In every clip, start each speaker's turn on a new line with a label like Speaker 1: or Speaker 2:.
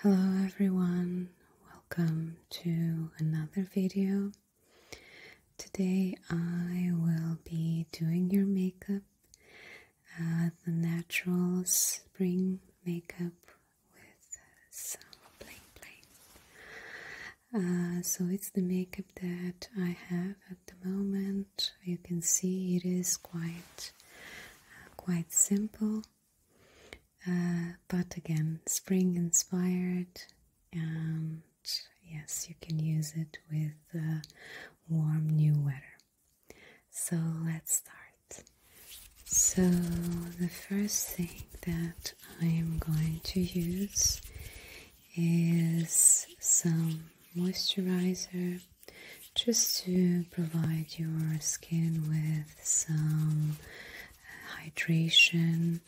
Speaker 1: Hello everyone, welcome to another video. Today I will be doing your makeup, uh, the natural spring makeup with some bling bling. Uh, so it's the makeup that I have at the moment. You can see it is quite, uh, quite simple. Uh, but again, spring inspired, and yes, you can use it with uh, warm new weather. So let's start. So, the first thing that I am going to use is some moisturizer just to provide your skin with some hydration.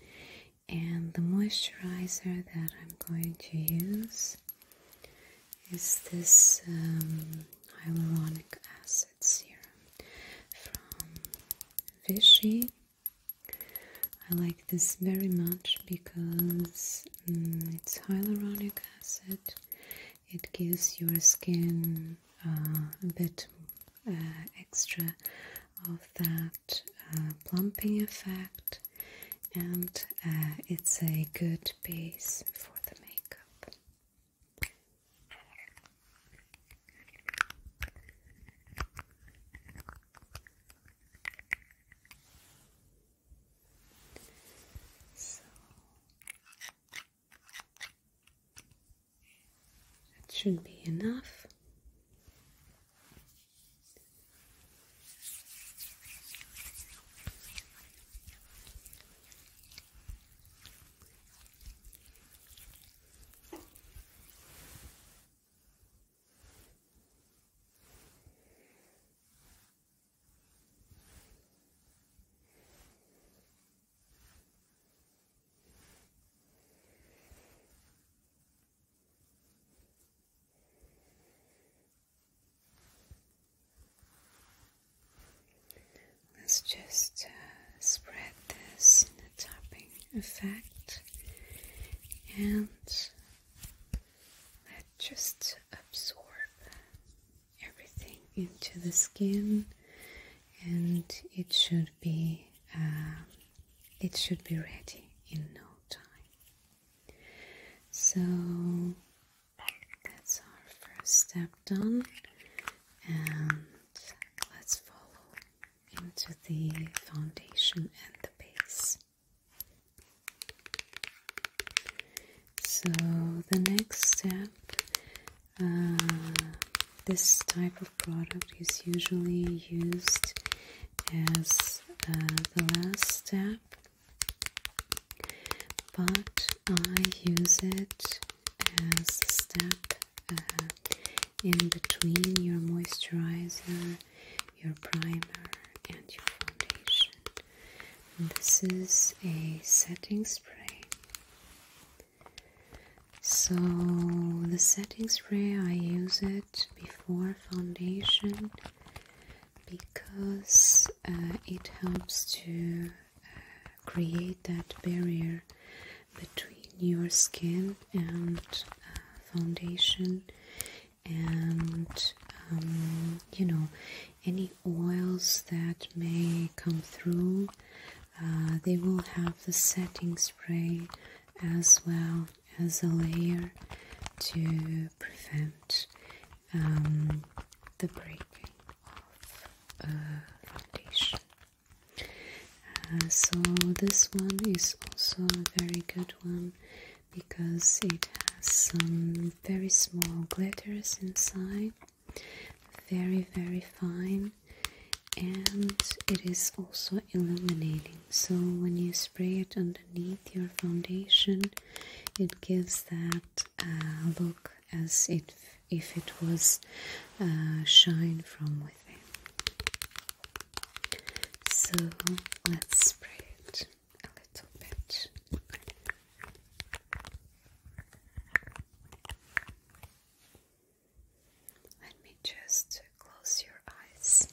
Speaker 1: And the moisturizer that I'm going to use is this um, hyaluronic acid serum from Vichy. I like this very much because mm, it's hyaluronic acid it gives your skin uh, a bit uh, extra of that uh, plumping effect, and it's a good base for the makeup. That should be enough. Let's just uh, spread this in the topping effect and let just absorb everything into the skin and it should be um, it should be ready in no time so that's our first step done and let's follow into the foundation and the base so the next step, uh, this type of product is usually used as uh, the last step, but I use it as a step uh, in between your moisturizer, your primer, and your foundation this is a setting spray. So, the setting spray I use it before foundation because uh, it helps to uh, create that barrier between your skin and uh, foundation and um, you know any oils that may come through. Uh, they will have the setting spray as well as a layer to prevent um, the breaking of foundation. Uh, so this one is also a very good one because it has some very small glitters inside very very fine and it is also illuminating so when you spray it underneath your foundation it gives that uh, look as if, it was uh, shine from within so let's spray it a little bit let me just close your eyes.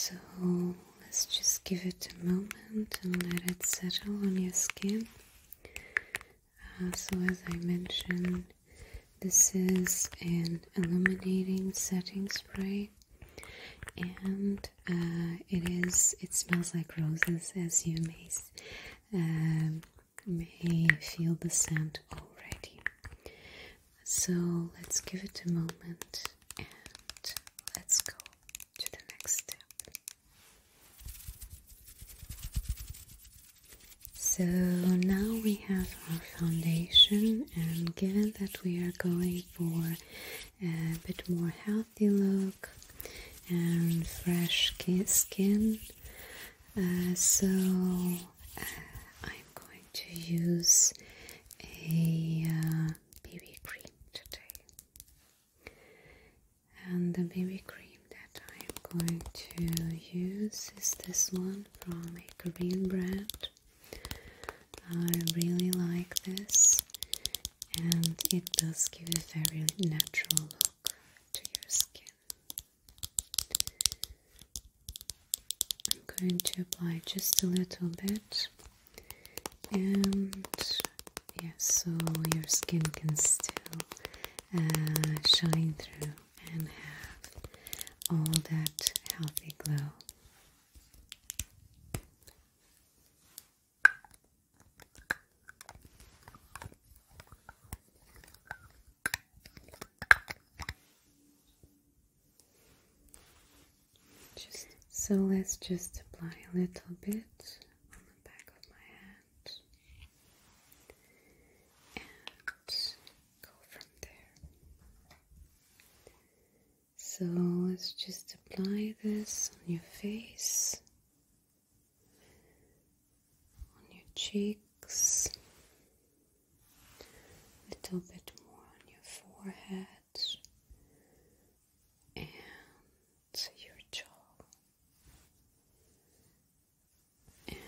Speaker 1: So let's just give it a moment and let it settle on your skin. Uh, so, as I mentioned, this is an illuminating setting spray, and uh, it is. It smells like roses, as you may uh, may feel the scent already. So let's give it a moment and let's go to the next step. So now we have our foundation, and given that we are going for a bit more healthy look and fresh skin, uh, so uh, I'm going to use a uh, BB cream today, and the BB cream that I'm going to use is this one from a Korean brand. I really like this, and it does give a very natural look to your skin. I'm going to apply just a little bit, and yeah, so your skin can still uh, shine through and have all that healthy glow. Just so let's just apply a little bit on the back of my hand and go from there. So let's just apply this on your face, on your cheeks, a little bit more on your forehead and your jaw. And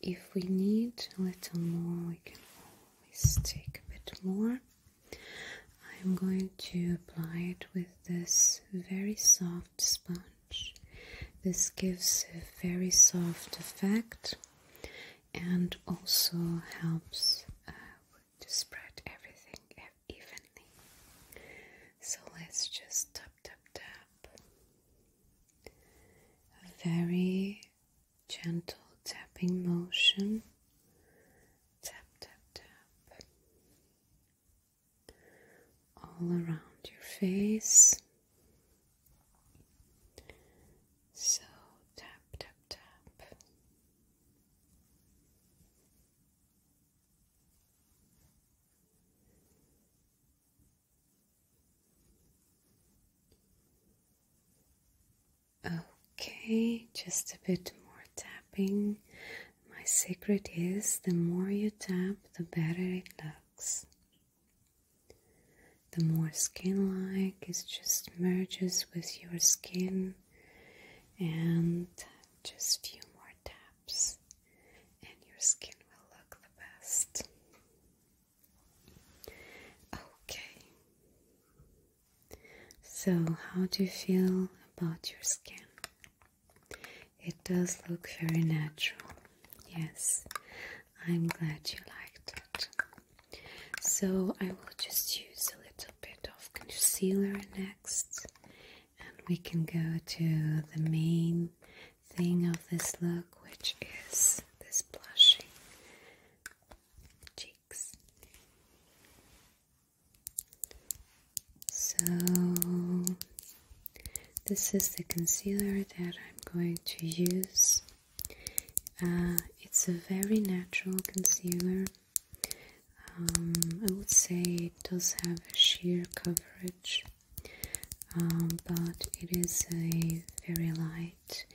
Speaker 1: if we need a little more, we can always take a bit more. I'm going to apply it with this very soft sponge. This gives a very soft effect and also helps uh, to spread everything evenly. So let's just tap, tap, tap. very gentle tapping motion. Tap, tap, tap. All around your face. So tap, tap, tap. Okay, just a bit more tapping. My secret is the more you tap, the better it looks the more skin like it just merges with your skin and just few more taps and your skin will look the best okay so how do you feel about your skin it does look very natural yes i'm glad you liked it so I will just use a little bit of concealer next, and we can go to the main thing of this look, which is this blushing cheeks. So, this is the concealer that I'm going to use uh, it's a very natural concealer. Um, I would say it does have a sheer coverage, um, but it is a very light,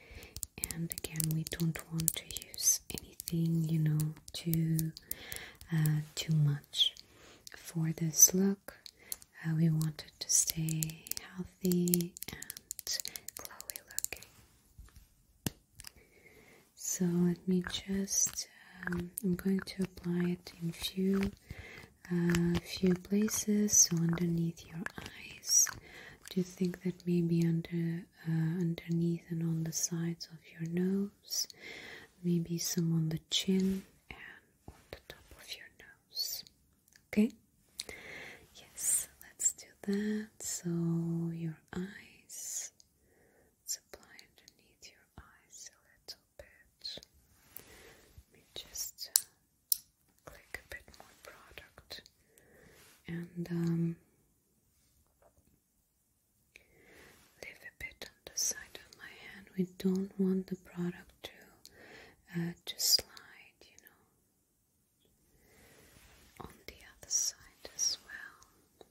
Speaker 1: and again, we don't want to use anything you know too uh, too much for this look. Uh, we wanted to stay healthy and glowy looking. So let me just, um, I'm going to apply it in few, uh, few places, so underneath your eyes. Do you think that maybe under, uh, underneath and on the sides of your nose? Maybe some on the chin and on the top of your nose. Okay. Yes, let's do that. So your eyes, apply underneath your eyes a little bit. Let me just uh, click a bit more product and um, leave a bit on the side of my hand. We don't want the product to uh, to slide, you know on the other side as well.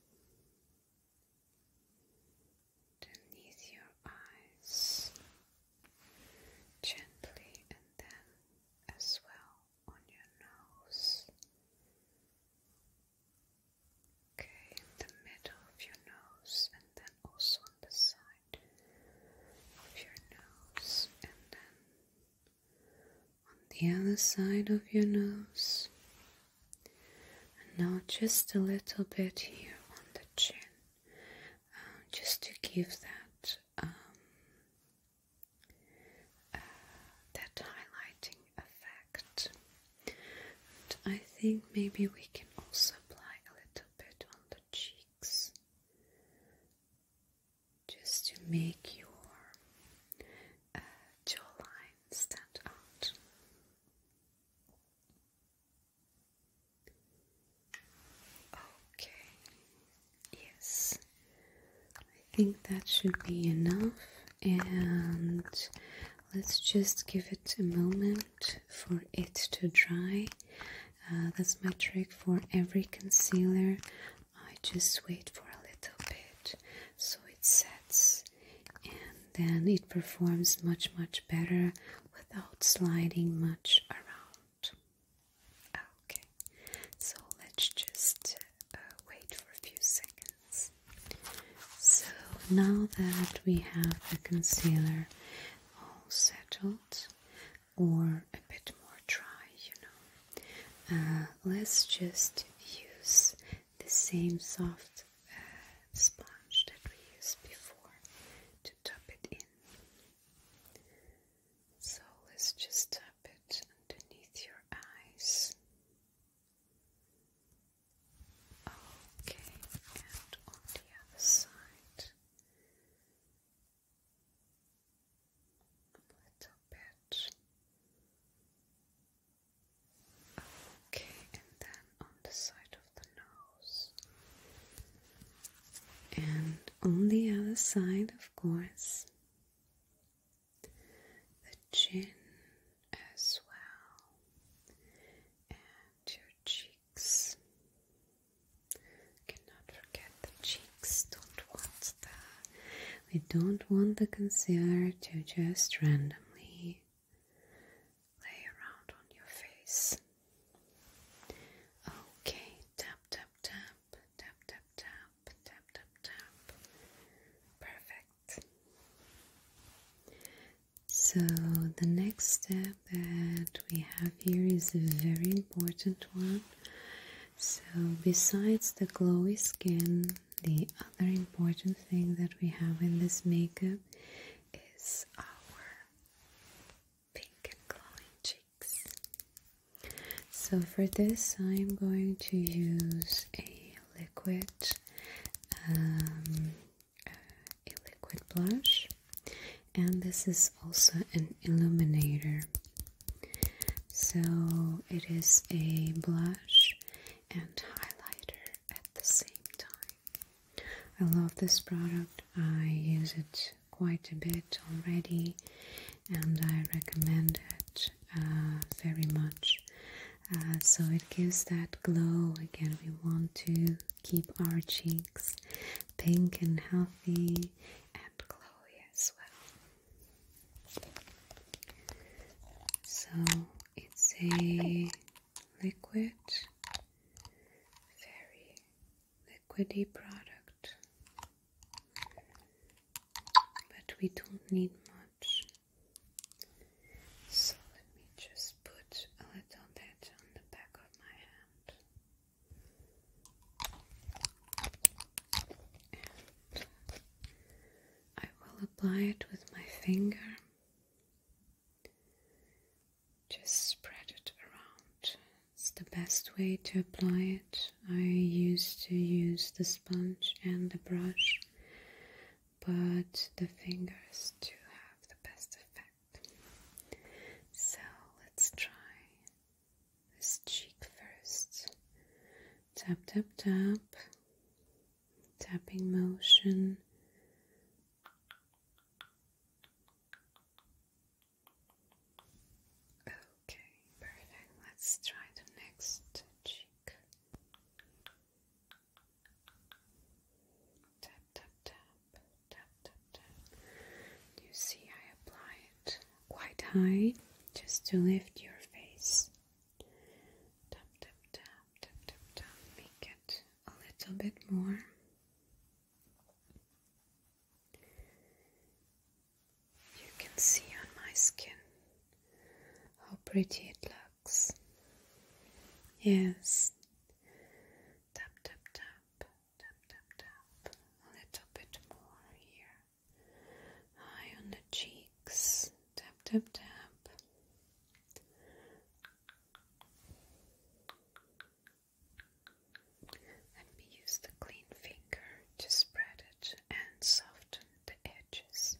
Speaker 1: Beneath your eyes, gently, and then as well on your nose. Okay, in the middle of your nose, and then also on the side of your nose, and then on the other side of your nose, and now just a little bit here on the chin, um, just to give that um, uh, that highlighting effect. I think maybe we can also apply a little bit on the cheeks just to make your uh, jawline stand out. Okay, yes, I think that should be enough, and let's just give it a moment for it to dry. Uh, that's my trick for every concealer. I just wait for a little bit so it sets and then it performs much much better without sliding much around. Okay, so let's just uh, wait for a few seconds. So now that we have the concealer all settled, or a bit more dry, you know. Uh, let's just use the same soft uh, sponge that we used before to tap it in. So let's just tap it underneath your eyes. Okay, and on the other side little bit. Okay, and then on the side of the nose. And on the other side, of course, the chin as well, and your cheeks. Cannot forget the cheeks. Don't want that. We don't want the concealer to just randomly lay around on your face. Okay, tap, tap, tap, tap, tap, tap, tap, tap, tap. Perfect. So, the next step that we have here is a very important one so, besides the glowy skin, the other important thing that we have in this makeup is our pink glowing cheeks. So, for this, I'm going to use a liquid, um, a liquid blush, and this is also an illuminator. So it is a blush and highlighter at the same time. I love this product. I use it quite a bit already and I recommend it uh, very much. Uh, so it gives that glow again. We want to keep our cheeks pink and healthy and glowy as well. So it's a liquid, very liquidy product, but we don't need much. So let me just put a little bit on the back of my hand. I will apply it with my finger. Just spread it around. It's the best way to apply it. I used to use the sponge and the brush, but the fingers do have the best effect. So let's try this cheek first. Tap, tap, tap. Tapping motion. Okay, perfect. Let's try the next cheek. Tap, tap, tap. Tap, tap, You see, I apply it quite high just to lift your face. Tap, tap, tap, tap, tap, tap. Make it a little bit more. You can see on my skin how pretty it looks. Yes. Tap, tap, tap, tap, tap, tap. A little bit more here. Eye on the cheeks. Tap, tap, tap. Let me use the clean finger to spread it and soften the edges.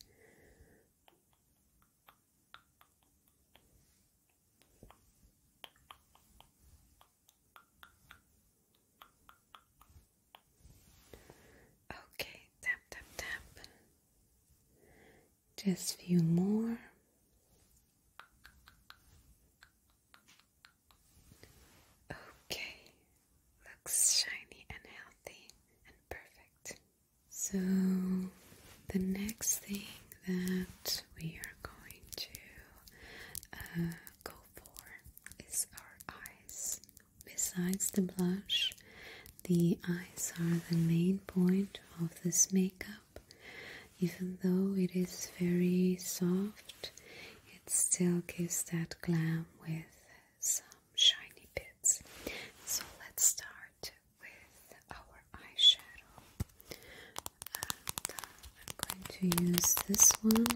Speaker 1: Okay, tap, tap, tap. Just a few more. Okay, looks shiny and healthy and perfect. So, the next thing that we are going to uh, go for is our eyes. Besides the blush, the eyes are the main point of this makeup. Even though it is very soft, it still gives that glam with some shiny bits. So let's start with our eyeshadow. And, uh, I'm going to use this one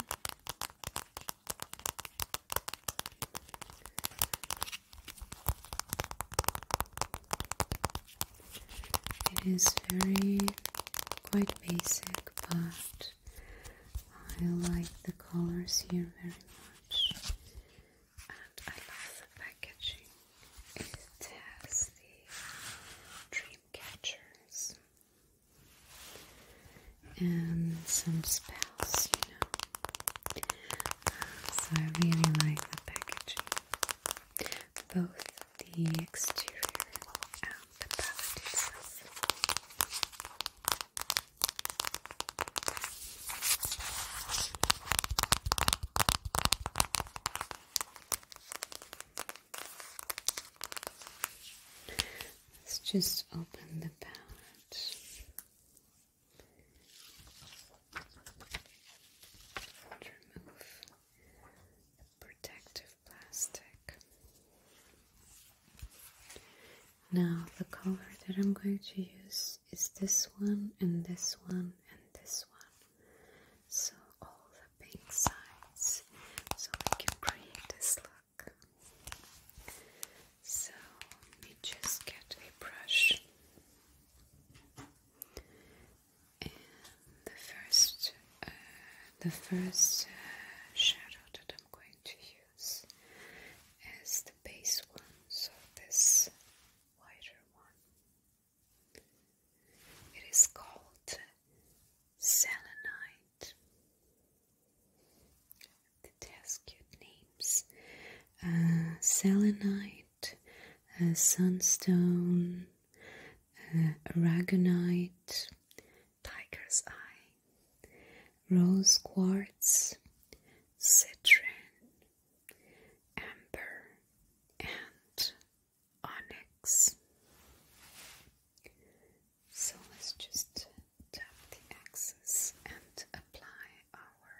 Speaker 1: it is very quite basic, but I like the colors here very much, and I love the packaging. It has the dream and some spells, you know. Uh, so I really like the packaging, both the exterior and the palette itself. Let's just open the palette. remove the protective plastic. Now, the color that I'm going to use is this one, and this one, and this one. So, all the pink sides, so we can create this look. So let just get a brush. And the first, uh, the first uh, shadow that I'm going to use is the base one, so this wider one. It is called selenite right. It cute names uh, selenite, uh, sunstone, uh, aragonite, tiger's eye, rose quartz, citrine, amber, and onyx. So let's just tap the axis and apply our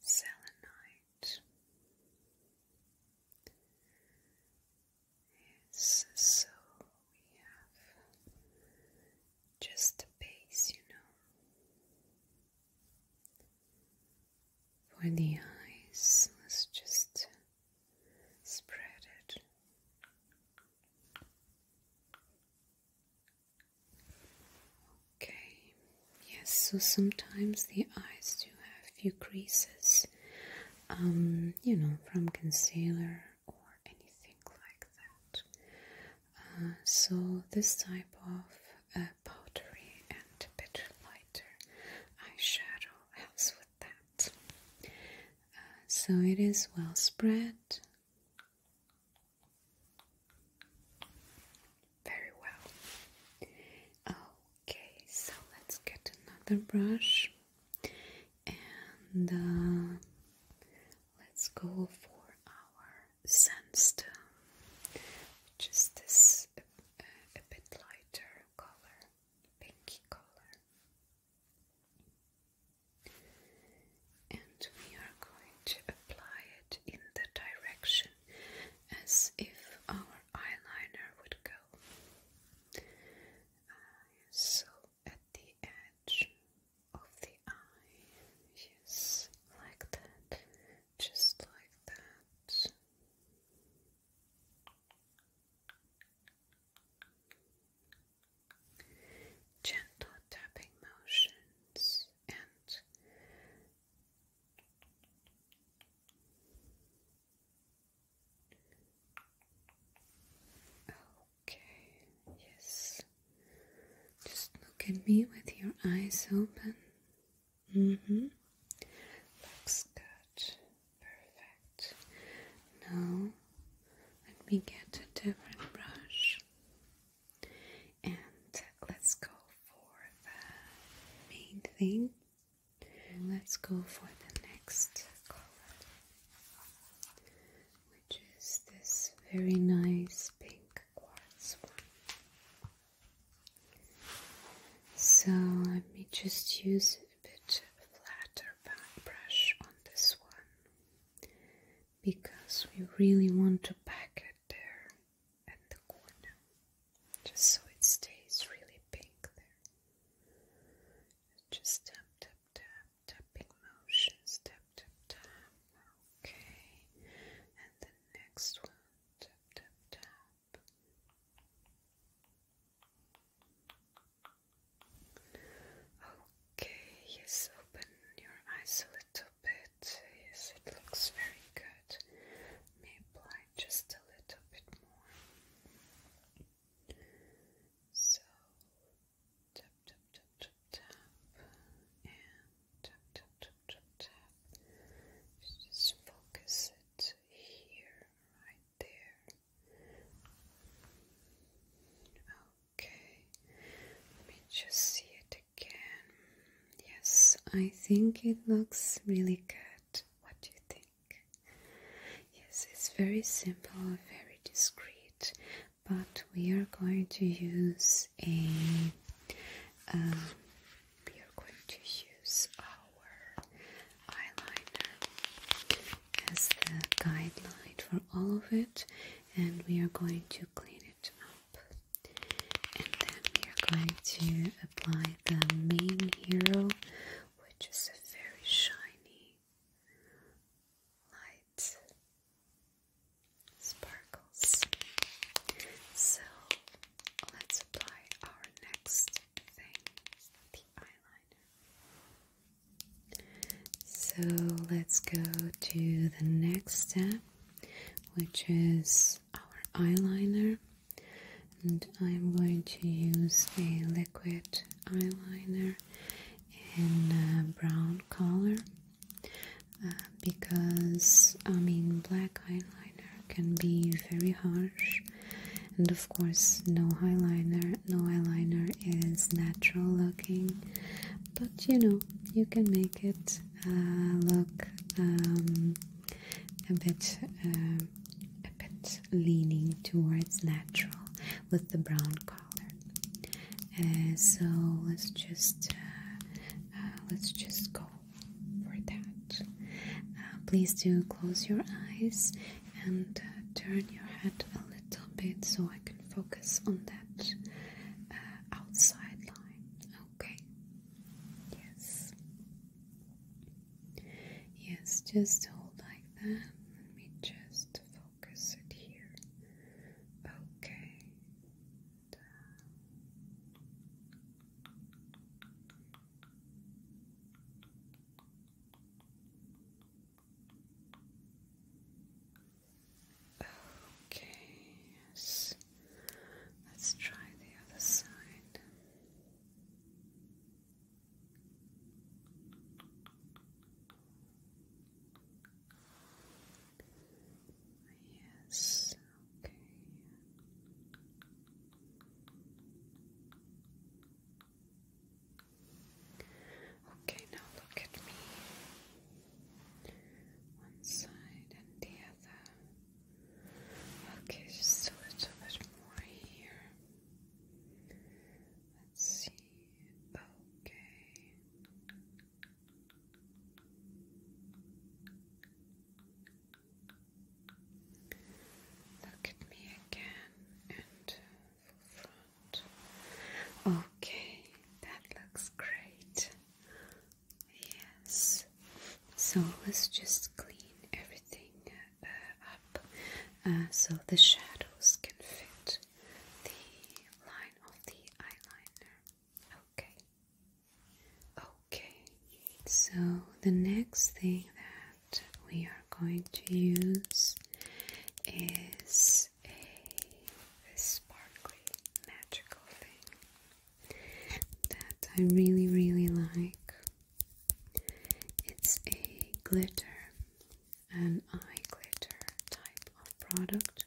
Speaker 1: selenite. Yes, so we have just the base, you know. For the eyes, let's just spread it. Okay, yes, so sometimes the eyes do have few creases, um, you know, from concealer or anything like that. Uh, so, this type of uh, powdery and a bit lighter eyeshadow helps with that so it is well spread. Very well. Okay, so let's get another brush and uh, let's go for our sandstone, which is this uh, a bit lighter color, pinky color and we are going to apply it in the direction as if our eyeliner would go. Uh, so at the edge of the eye, yes, like that, just like that. Gentle tapping motions and Okay, yes. Just look at me with your eyes open. Mm-hmm. Looks good. Perfect. Now let me get a different brush and let's go for the main thing. let's go for the next color, which is this very nice pink quartz one. So let me just use a bit flatter brush on this one because we really want to pack it there at the corner just so it stays really pink there. Just tap, tap, tap, tapping motions, tap, tap, tap. Okay, and the next one, tap, tap, tap. Okay, yes, open your eyes a little bit. Yes, it looks very good. May apply just a little bit more. So, tap, tap, tap, tap, tap, and tap, tap, tap, tap, tap. Just focus it here, right there. Okay, let me just see it again. Yes, I think it looks really good. What do you think? Yes, it's very simple, very discreet, but we are going to use a. Um, we are going to use eyeliner as the guideline for all of it, and we are going to clean it up. And then we are going to apply the main hero, which is a very shiny light sparkles. So let's apply our next thing, the eyeliner. So let's go to the next step, which is our eyeliner. And I'm going to use a liquid eyeliner in brown color uh, because I mean black eyeliner can be very harsh and of course no eyeliner no eyeliner is natural looking but you know you can make it uh, look um, a bit uh, a bit leaning towards natural with the brown color uh, so let's just let's just go for that please do close your eyes and uh, turn your head a little bit so I can focus on that uh, outside line. Okay. Yes. Yes, just hold like that. Let me just focus it here. Okay. Okay, yes. Let's try the other side. Yes, okay. Okay, now look at me. One side and the other. Okay, just a little bit more here. Let's see. Okay. Look at me again and Okay, that looks great. Yes. So let's just clean everything uh, up uh, so the shadows can fit the line of the eyeliner. Okay. Okay. So the next thing that we are going to use is a sparkly magical thing that I really really like. It's a glitter, an eye glitter type of product,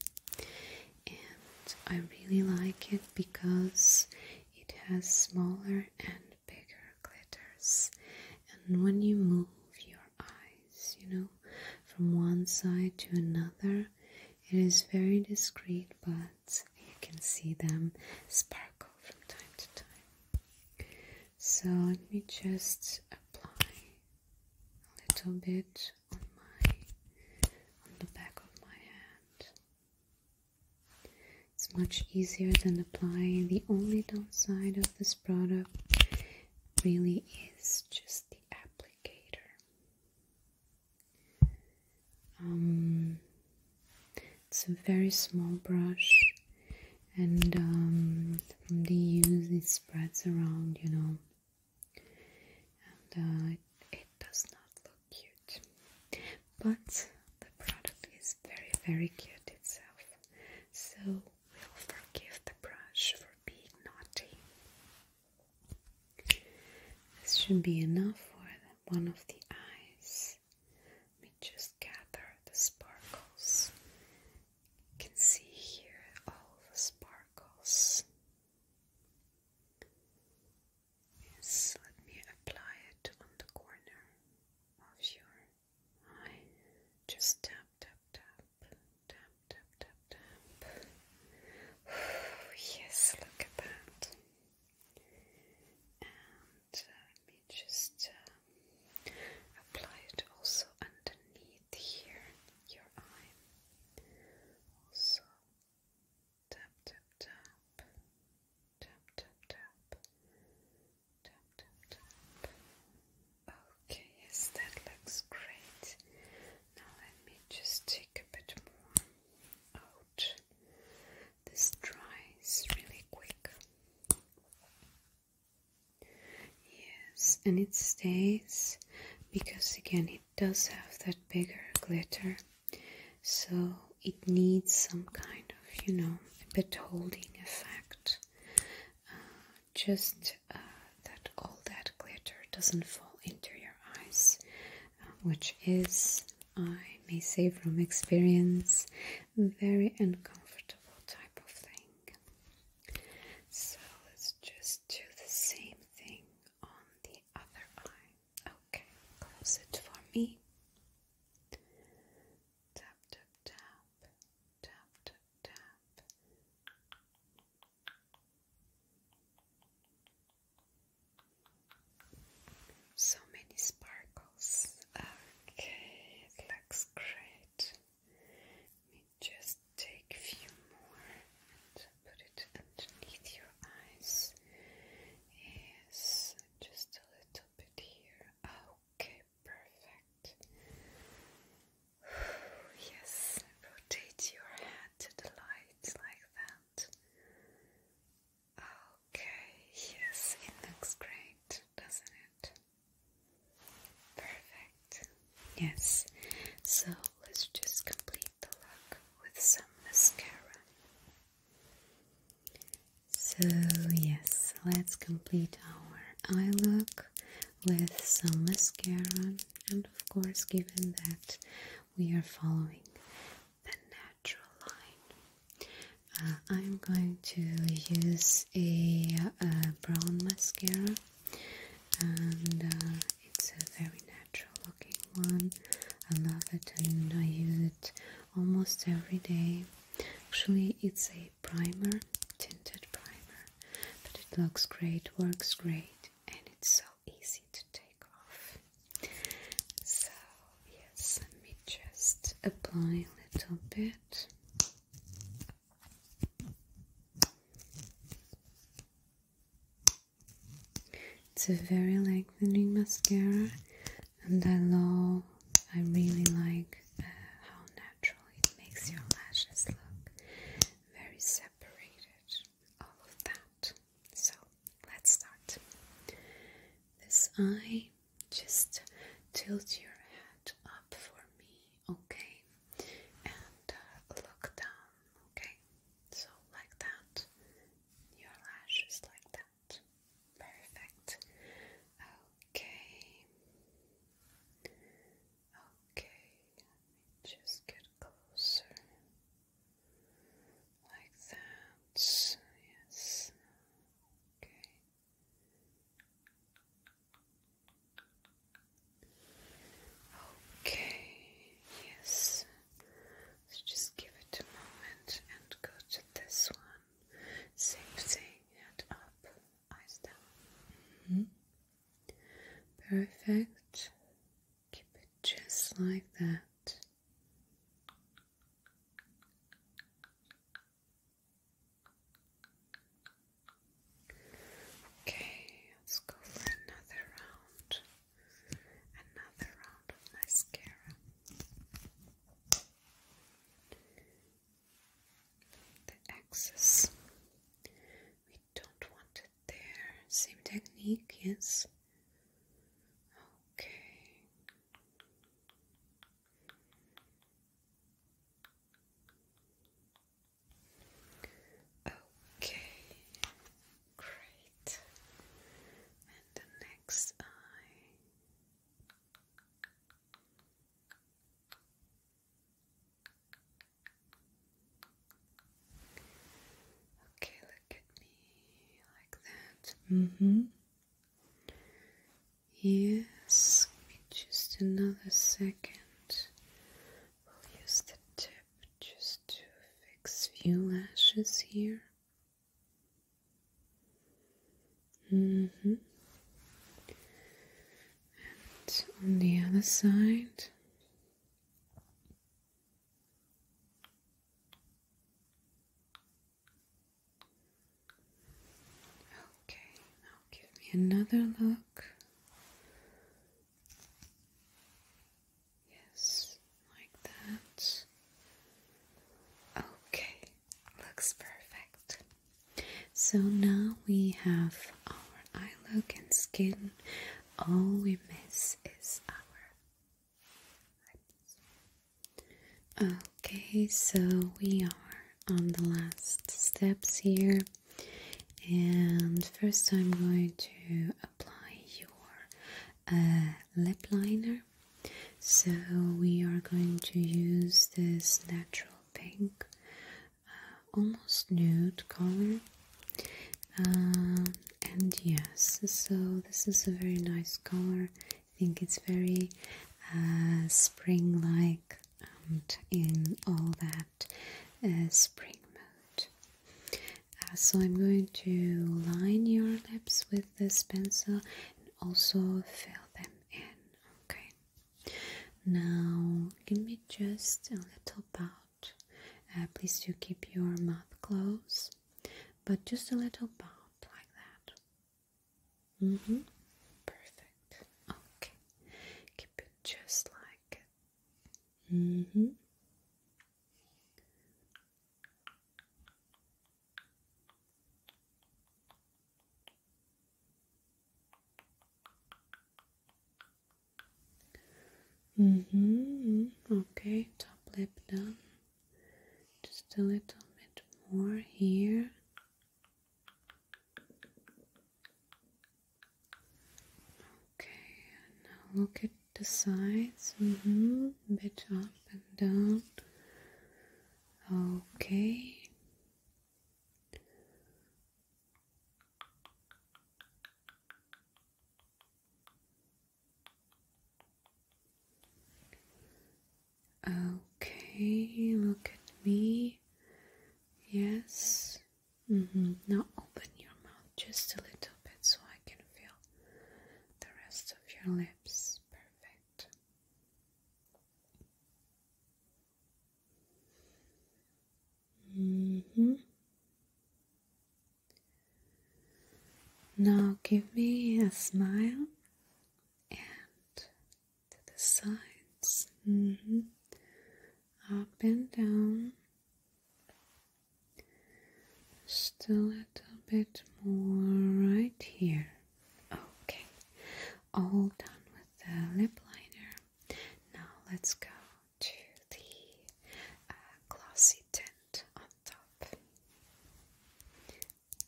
Speaker 1: and I really like it because it has smaller and bigger glitters. And when you move your eyes, you know, from one side to another, it is very discreet, but you can see them sparkle from time to time. So let me just apply a little bit on my on the back of my hand. It's much easier than applying. The only downside of this product really is just the applicator. Um, it's a very small brush and um, from the use it spreads around, you know. And it, uh, it does not look cute. But the product is very, very cute itself. So we'll forgive the brush for being naughty. This should be enough for one of the eyes. Let me just gather the sparkles. You can see here all the sparkles. Yes, let me apply it on the corner of your I just tap, tap, tap, tap, tap, tap, tap. yes, look at that. And uh, let me just uh, apply it also underneath here, your eye. Also, tap, tap, tap, tap, tap, tap. Okay, yes, that looks great. Now let me just take a bit more out. This dries really quick. Yes, and it stays because again it does have that bigger glitter, so it needs some kind of you know a bit holding effect just uh, that all that glitter doesn't fall into your eyes, uh, which is, I may say from experience, very uncomfortable type of thing. So let's just do the same thing on the other eye. Okay, close it for me tap tap tap tap tap tap so many sparkles okay it looks great let me just take a few more and put it underneath your eyes yes just a little bit here okay perfect. Yes, rotate your head to the light like that. Okay, yes, it looks great, doesn't it? Perfect. Yes, so let's just complete the look with some mascara. So, yes, let's complete our eye look with some mascara, and of course, given that we are following the natural line, uh, I'm going to use a, brown mascara, and uh, it's a very natural looking one. I love it, and I use it almost every day. Actually, it's a primer, tinted primer, but it looks great, works great, and it's so easy to take off. So, yes, let me just apply a little bit. It's a very lengthening mascara and I love, I really like uh, how natural it makes your lashes look very separated, all of that. So let's start. This eye, just tilt your head up for me, okay, and uh, look down, okay. So like that, your lashes like that. Perfect. Okay. Okay. Let me just get closer. Like that. Yes. Okay. Okay, yes. just give it a moment and go to this one. Same thing, head up, eyes down. Mm-hmm. Perfect. Keep it just like that. Okay, let's go for another round. Another round of mascara the axis. We don't want it there. Same technique, yes. Okay. Okay. Great. And the next eye. Okay, look at me like that. hmm Yes, just another second. We'll use the tip just to fix few lashes here. Mm hmm. And on the other side. Okay, now give me another look. Yes, like that. Okay, looks perfect. So now we have our eye look and skin. All we miss is our lips. Okay, so we are on the last steps here. And first, I'm going to apply your uh, lip liner so we are going to use this natural pink, uh, almost nude color. Um, and yes, so this is a very nice color. I think it's very uh, spring like and in all that uh, spring mode. so I'm going to line your lips with this pencil and also fill them in. Okay. Now give me just a little bout. Uh, please do keep your mouth closed, but just a little bout like that. Mm-hmm. Perfect. Okay. Keep it just like it. Mm-hmm. Mm-hmm, mm-hmm. Okay, top lip done. Just a little bit more here. Okay, now look at the sides. Mm-hmm. Bit up and down. Okay. Okay, look at me. Yes. Mm-hmm. Now open your mouth just a little bit so I can feel the rest of your lips. Perfect. Mm -hmm. Now give me a smile and to the sides, mm-hmm. up and down, just a little bit more right here. Okay, all done with the lip liner. Now let's go to the uh, glossy tint on top.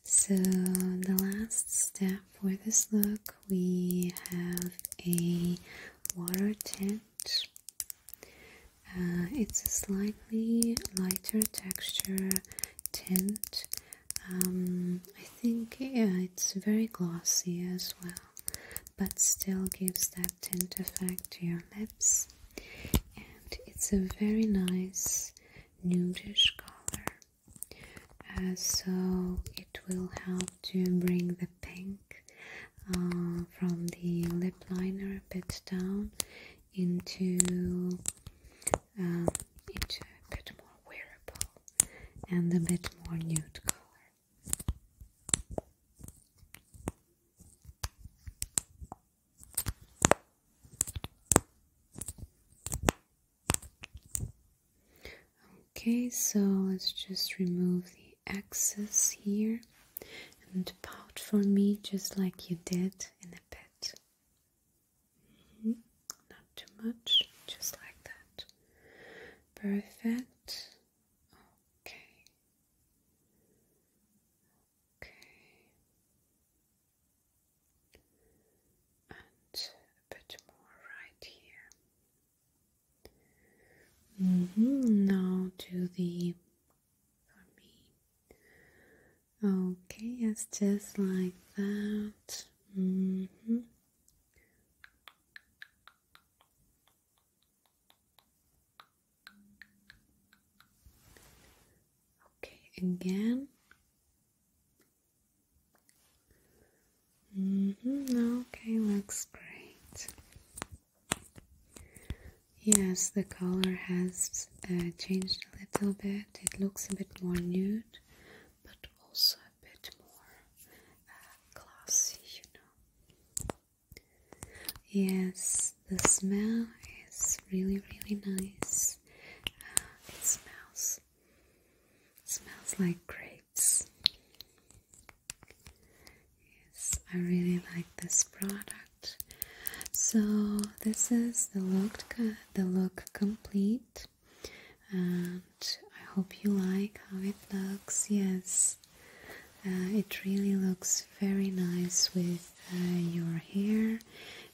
Speaker 1: So, the last step for this look, we have a water tint. Uh, it's a slightly lighter texture tint. Um, I think yeah, it's very glossy as well, but still gives that tint effect to your lips. And it's a very nice nudish color, uh, so it will help to bring the pink uh, from the lip liner a bit down into um, a bit more wearable and a bit more nude color. Okay, so let's just remove the excess here and pout for me just like you did in a bit. Not too much, just like that. Perfect. Okay. Okay. And a bit more right here. Mm-hmm. Now to the for me Okay, yes, just like that. Mm-hmm. Okay, again. Mm-hmm, okay, looks great. Yes, the color has uh, changed a little bit. It looks a bit more nude but also a bit more uh, classy, you know. Yes, the smell is really, really nice. Uh, it smells smells like grapes. Yes, I really like this product. So this is the look, the look complete and I hope you like how it looks. Yes, uh, it really looks very nice with uh, your hair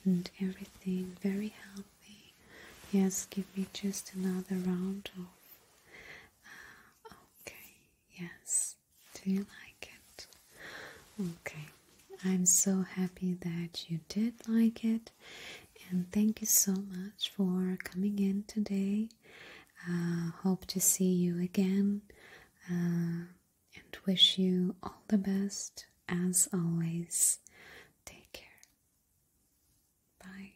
Speaker 1: and everything, very healthy. Yes, give me just another round of. Uh, okay, yes, do you like it? Okay, I'm so happy that you did like it, and thank you so much for coming in today. Uh, hope to see you again uh, and wish you all the best as always. Take care. Bye.